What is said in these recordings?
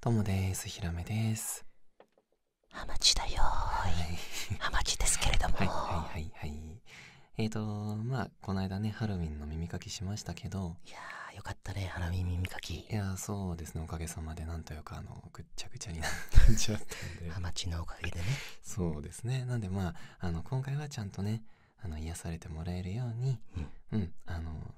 ともです、ひらめです。ハマチだよはい、ハマチですけれども。はいはいはいはえと、まあ、この間ね、ハロウィンの耳かきしましたけど。いやよかったね、ハロウィン耳かき。いやそうですね、おかげさまで、なんというか、あの、ぐっちゃぐちゃになっちゃったんで。ハマチのおかげでね。そうですね。なんで、まあ、あの、今回はちゃんとね、あの、癒されてもらえるように、うん、あの、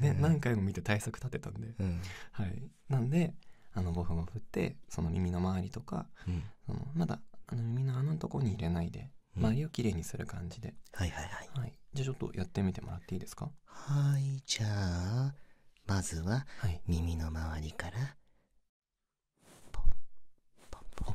ね、何回も見て対策立てたんで、はい、なんであのボフも振ってその耳の周りとか、まだあの耳の穴のとこに入れないで周りをきれいにする感じで、はいはいはい、じゃあちょっとやってみてもらっていいですかはいじゃあまずは耳の周りから、はい、ポンポンポン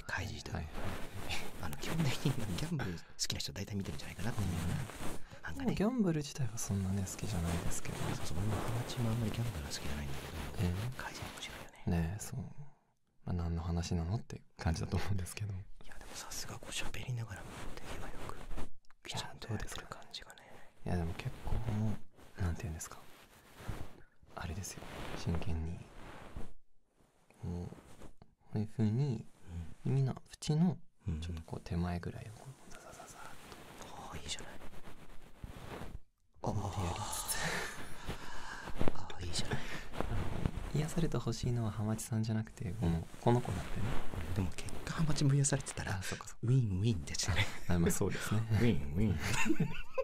で開示した、はいはい、あの基本的にギャンブル好きな人大体見てるんじゃないかなっていうような,、うん、なんかねギャンブル自体はそんなね好きじゃないですけどそうそう俺もハマチもあんまりギャンブルは好きじゃないんだけど、えー、開示面白いよねねえそう、まあ、何の話なのって感じだと思うんですけどいやでもさすがこう喋りながらも手際よくきちゃんと出てる感じがねいやでも結構なんて言うんですかあれですよ真剣にこういうふうに耳の縁のちょっとこう手前ぐらいをこうザザザザッとああいいじゃないあああいいじゃない癒されてほしいのは浜地さんじゃなくてこのこの子なんでねでも結果ハマチも癒されてたらウィンウィンっすねあまあそうですね ウィンウィン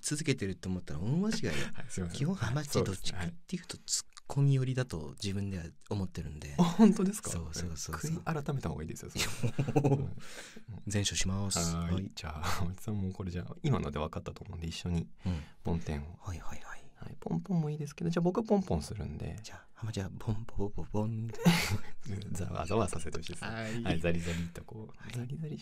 続けてると思ったら大間違いい、基本ハマチどっちかっていうとツッコミ寄りだと自分では思ってるんで、本当ですかそうそうそう改めた方がいいですよ全書しますはいじゃあおじさんもこれじゃあ今ので分かったと思うんで一緒にポンテンを、はいはいはいポンポンもいいですけどじゃあ僕はポンポンするんでじゃあ浜ちゃんポンポンポンって。ざわざわさせてほしいです、はい、はい、ザリザリとこう、はい、ザリザリ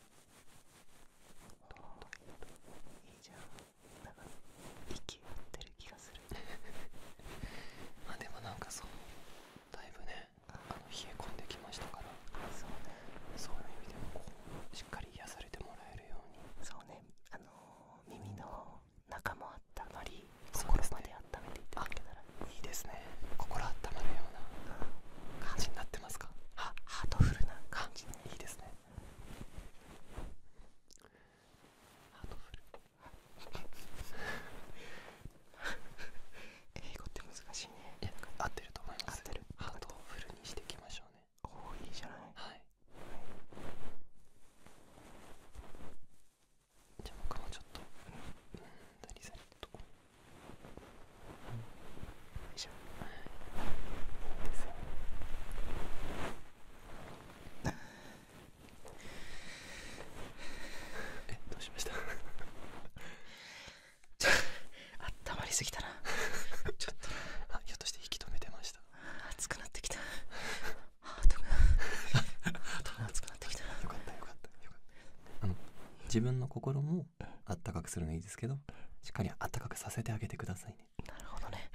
いいじゃんなんか息合ってる気がする あでもなんかそだいぶねあの冷え込んできましたからそうねそういう意味でもこうしっかり癒されてもらえるようにそうねあの耳の中もあったまりそこまで温めていただけたらいいですね心温まような感じになってますかハートフルな感じいいですねハートフル 英語って難しい合ってると思いますハートフルにしていきましょうねおおいいじゃないはい、じゃあ僕もちょっとうん、うん、ザリザとこえどうしましたあったまりすぎたなちょっとあひょっとしてき止めてましたあ、熱くなってきたあ、ー 熱くなってきたよかったよかったよかったあの自分の心もあったかくするのいいですけどしっかりあったかくさせてあげてくださいねなるほどね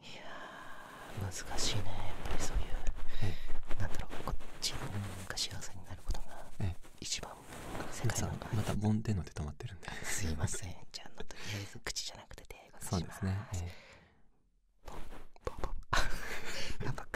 いいや難しいねなんだろうこ自分が幸せになることが一番またボンので止まってるんですいませんじゃとりあえず口じゃなくて手がそうですね、えー、ポンポンポン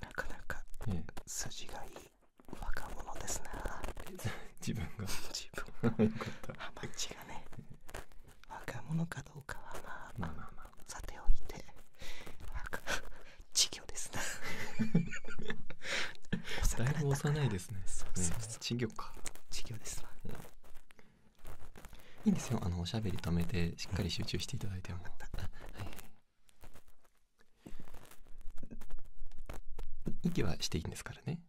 なかなかえ筋がいい若者ですな 自分が自分 よかったハマチがね若者かどうかはまあまあまあまあさておいて若稚魚ですな お魚だいぶないですねそうそうそう稚魚か稚魚ですないいんですよあのおしゃべり止めてしっかり集中していただいても、うん、はい息はしていいんですからね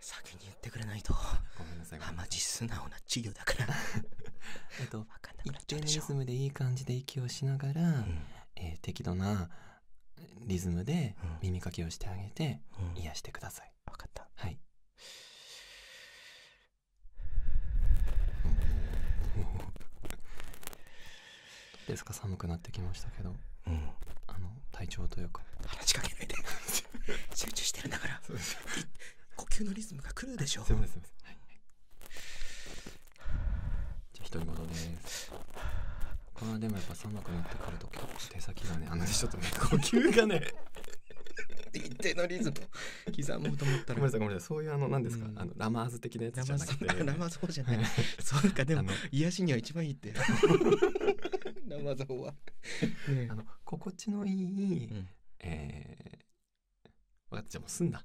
先に言ってくれないとごめんなさいあまじ素直な授業だから えっと一定のリズムでいい感じで息をしながら、うえ適度なリズムで耳かきをしてあげて癒してください。分かった。はい。ですか寒くなってきましたけど、あの体調とよく。話しかけないで 集中してるんだから呼吸のリズムが狂るでしょうじゃあ独り言ですまあでもやっぱ寒くなってくると結構手先がねあのちょっとね呼吸がね一定のリズム刻もうと思ったらごめんなさいごめんなさいそういうあの何ですか、うん、あのラマーズ的なやつじゃなくてラマーズ法じゃないそうかでも癒しには一番いいって ラマーズ法は、ね、あの心地のいい、うん、えー、わじゃもう済んだ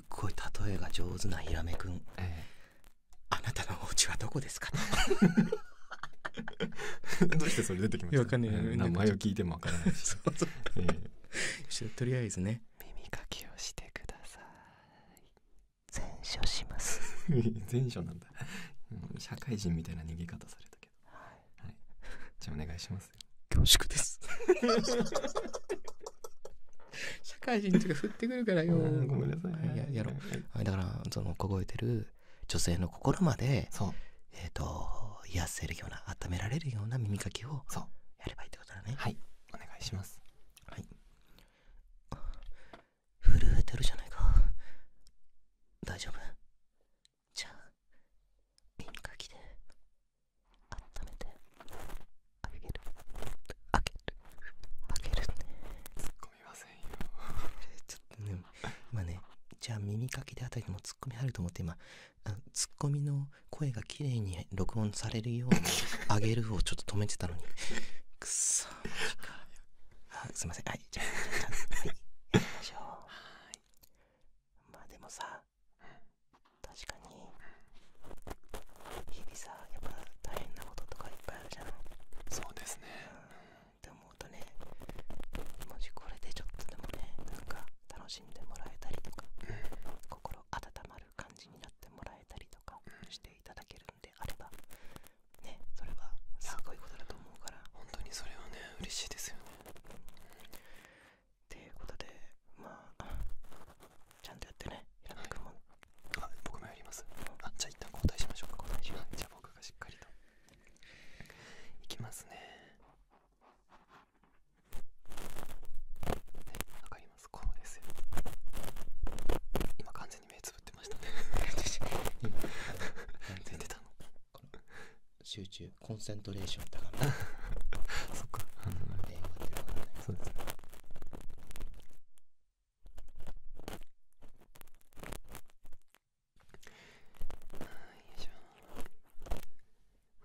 すっえが上手なヒラメくええ、あなたのお家はどこですか どうしてそれ出てきましたかんない、名前を聞いてもわからないそうそう、えー、とりあえずね耳かきをしてください全書します 全書なんだ社会人みたいな逃げ方されたけど、はい、じゃあお願いします恐縮です。社会人とか振ってくるからよ。ごめんなさい、ややろう、だからその凍えてる女性の心まで、えっ、と癒やせるような温められるような耳かきをやればいいってことだね。はい、お願いします。はい。震えてるじゃないか。大丈夫。じゃあ耳かきで温めてあげるあげるあっ込みません ちょっとね今ねじゃあ耳かきであたりもツッコミ入ると思って今ツッコミの声が綺麗に録音されるように「上げる」をちょっと止めてたのに くっそすいませんはいじゃあはいきましょうはいまあでもさ確かに日々さやっぱ大変なこととかいっぱいあるじゃんそうですね、うって思うとねもしこれでちょっとでもねなんか楽しんでもらえたりとか、心温まる感じになってもらえたりとかしていただけるんであればねそれはすごいことだと思うから本当にそれはね嬉しいですよね、っていうことであちゃんとやってね平田君も、はい、あ僕もやります、うん、あじゃあ一旦交代しましょうか交代しますじゃあ僕がしっかりといきますねわかりますこうですよ今完全に目つぶってましたね今全然出たの集中コンサン んま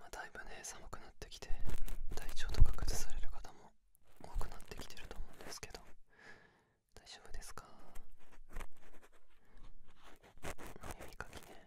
あだいぶね寒くなってきて体調とか崩される方も多くなってきてると思うんですけど大丈夫ですか耳かきね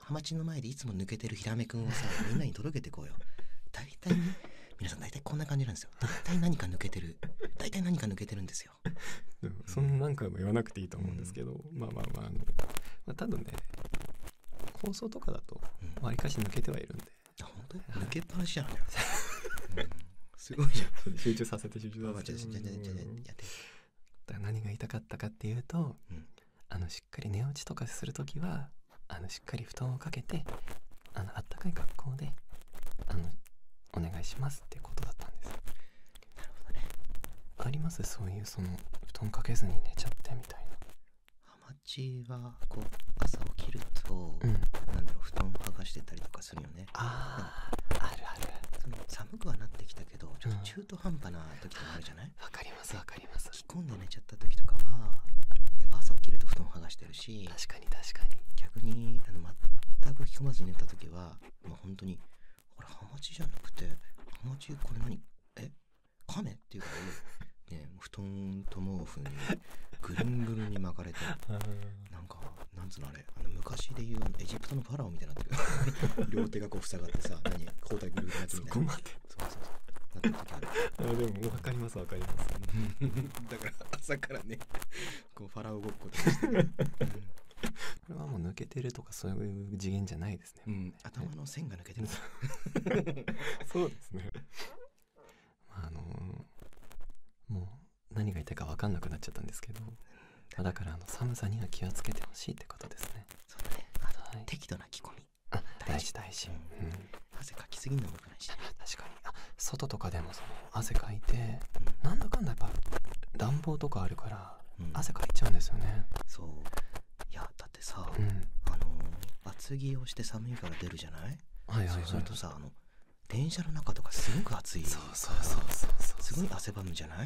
ハマチの前でいつも抜けてるヒラメ君をさ、みんなに届けてこうよ。大体、ね、皆さん大体こんな感じなんですよ。大体何か抜けてる。大体何か抜けてるんですよ。そんなんかも言わなくていいと思うんですけど、まあまあまあ、あの、ま多分ね、構想とかだと、わりかし抜けてはいるんで。あ、本当抜けっぱなしじゃん。うん、すごいじゃん。集中させて集中させて。だから何が痛かったかっていうと、あのしっかり寝落ちとかする時はあのしっかり布団をかけてあのあったかい格好であのお願いしますってことだったんです。なるほどね。ありますそういうその布団かけずに寝ちゃってみたいな。ハマチはこう朝起きると、うだろう布団を剥がしてたりとかするよね。中途半端な時とかあるじゃないわかりますわかります着込んで寝ちゃった時とかはやっぱ朝起きると布団剥がしてるし確かに確かに逆にあの全く着込まずに寝た時はもう本当にこれハマチじゃなくてハマチこれ何えカメっていうか ね布団と毛布にぐるんぐるんに巻かれてなんかなんつうのあれあの昔で言うエジプトファラオみたいになってる 両手がこう塞がってさ何交代のやつみたいなそこまそうそうそうなってるあでも分かります分かります だから朝からねこうファラオごっこ これはもう抜けてるとかそういう次元じゃないですね頭の線が抜けてるそうですねあのもう何が言いたか分かんなくなっちゃったんですけどまあ、だからあの寒さには気をつけてほしいってことですねそうだねあと、はい、適度な着込みあ大事大事、うん、汗かきすぎるのもよくないし、ね、確かにあ外とかでもその汗かいて、うん、なんだかんだやっぱ暖房とかあるから、うん、汗かいちゃうんですよねそういやだってさ、うん、あの厚着をして寒いから出るじゃないはいはい、はい、そうするとさあの電車の中とかすごく暑いそうそうそうそうすごい汗ばむじゃない、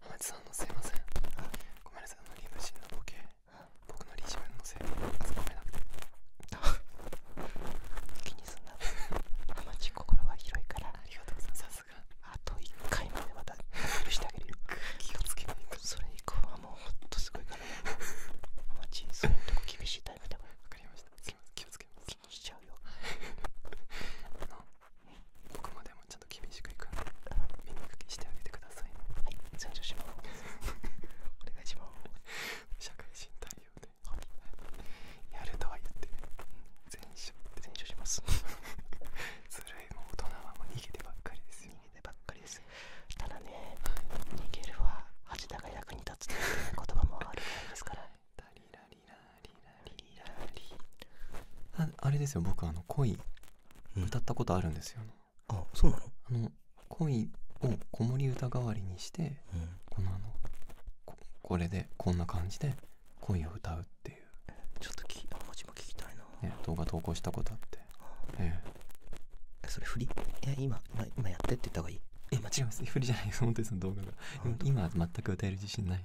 浜地さんのすいませんごめんなさいあの理無心のボケ僕の理自分のせいあそこめなくて 気にすんな浜地心は広いからありがとうございますさすがあと1回までまた許してあげるよ気をつけないとそれ以降はもうほんとすごいからね浜地そういうとこ厳しいタイプでもわかりましたすいません気をつけます気にしちゃうよあの僕もでもちょっと厳しくいく耳かきしてあげてくださいはい参照しますお願いします社会人対応で、はい、やるとは言ってね全勝全勝しますずるいもう大人はもう逃げてばっかりですよ逃げてばっかりですただね、はい、逃げるは恥だが役に立つという言葉もあるんですからああれですよ僕あの恋歌ったことあるんですよ、あそうなのあの恋を子守歌代わりにして、このあのここれでこんな感じで恋を歌うっていうちょっときあもちも聞きたいな、ね、動画投稿したことあって、えそれ振りいや今今やってって言った方がいいえ間違います振りじゃないです本当にその動画が今全く歌える自信ない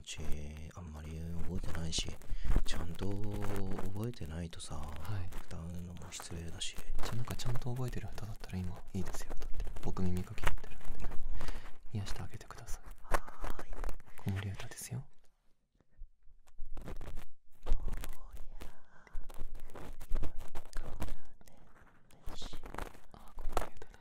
あんまり覚えてないしちゃんと覚えてないとさ、はい、歌うのも失礼だしじゃなんかちゃんと覚えてる歌だったら今いいですよだって僕耳かきやってるんで癒してあげてくださいはい子守歌ですよああ、この歌だ。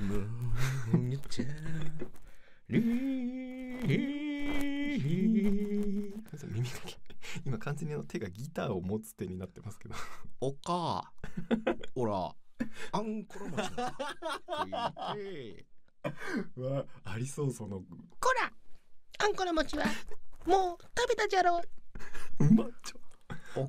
もうちゃり耳だけ今完全に手がギターを持つ手になってますけどおかほらあんころ餅だわありそうそのこらあんころ餅はもう食べたじゃろうまっちょお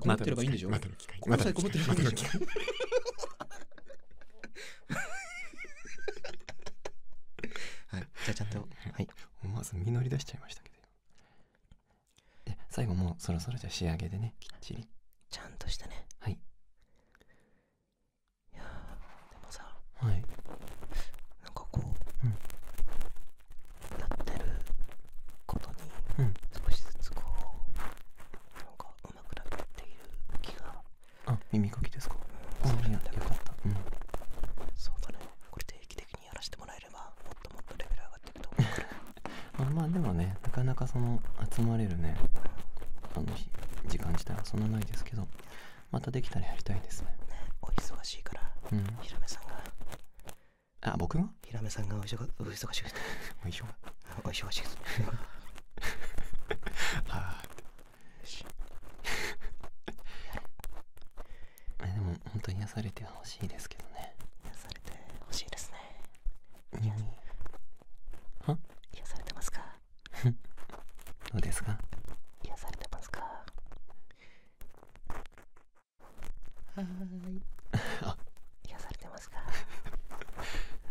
困ってればいいんでしょまたの機会心さえこってる。はい、じゃあちょっと、はい、思わず実り出しちゃいましたけど最後もそろそろじゃ仕上げでねきっちりちゃんとしたねはいいやでもさはいなんかこう、なってることに少しずつこうなんかうまくなっている気があ耳かきですかそれなんだよかった、うん、そうだねこれ定期的にやらせてもらえればもっともっとレベル上がっていくと思うあ まあでもねなかなかその集まれるねあの時間自体はそんなないですけどまたできたらやりたいですねお忙しいから、うん、ひらめさんがあ僕がヒラメさんがお忙しくお忙しくお忙しくお忙しくああでも本当に癒されてほしいですけどね癒されてほしいですねには癒されてますか どうですか癒されてますかはーい。あ、癒されてますか。は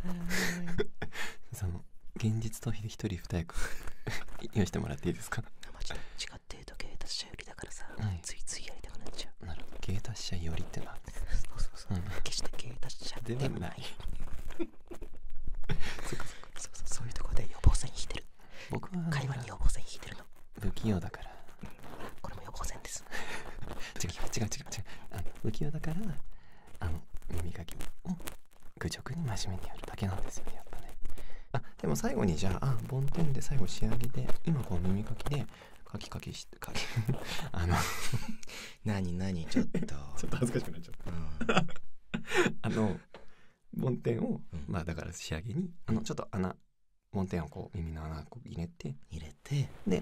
ーい。その現実逃避で一人二役 用意してもらっていいですか。まあ、ちょっと違って言うと芸達者寄りだからさ、はい、ついついやりたくなっちゃう。なるほど、芸達者寄りってな。そうそうそう。うん、決して芸達者ではない。そうそうそういうところで予防線引いてる。僕は。会話に予防線引いてるの。不器用だからこれも横線です 違う違う違う違うあの不器用だからあの耳かきを愚直に真面目にやるだけなんですよねやっぱねあでも最後にじゃああ、梵天で最後仕上げで今こう耳かきでかきかきしてかき。あのなになにちょっと ちょっと恥ずかしくなっちゃった、うん、あの梵天を、うん、まあだから仕上げにあのちょっと穴梵天をこう耳の穴を入れて入れてで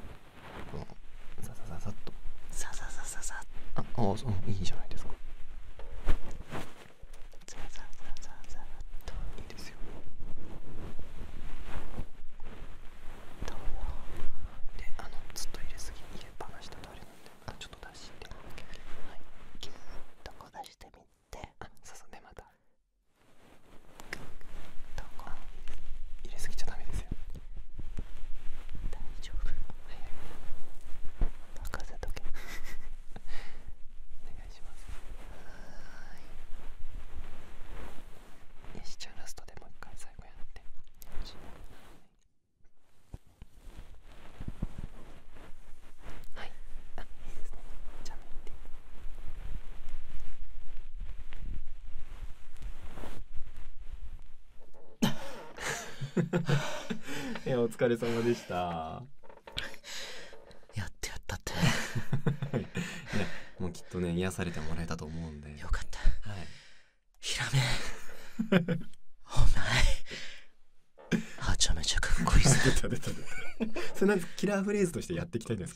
こう、ザザザザッとザザザザッああそういいじゃないですかザザザザッといいですよであのずっと入れすぎ入れっぱなしとあれなんでちょっと出してはいギュッとこう出してみてあそうそでまた入れすぎちゃダメですよ大丈夫はいはい任せとけお願いしますはいよしじゃあラストでもう一回最後やってはいあいいですねじゃあ見て いやお疲れ様でしたやってやったって いもうきっとね癒されてもらえたと思うんでよかったはいひらめお前はちゃめちゃかっこいいぞ 出た出た出たそれなんキラーフレーズとしてやっていきたいんです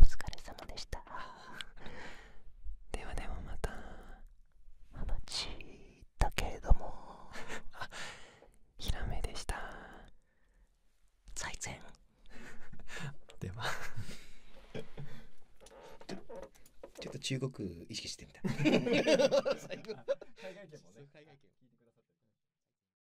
お疲れ様でしたではではまた話だけれどもあヒラメでした最善。ではちょっと中国意識してみた。海外圏もね。海外圏聞いてくださって。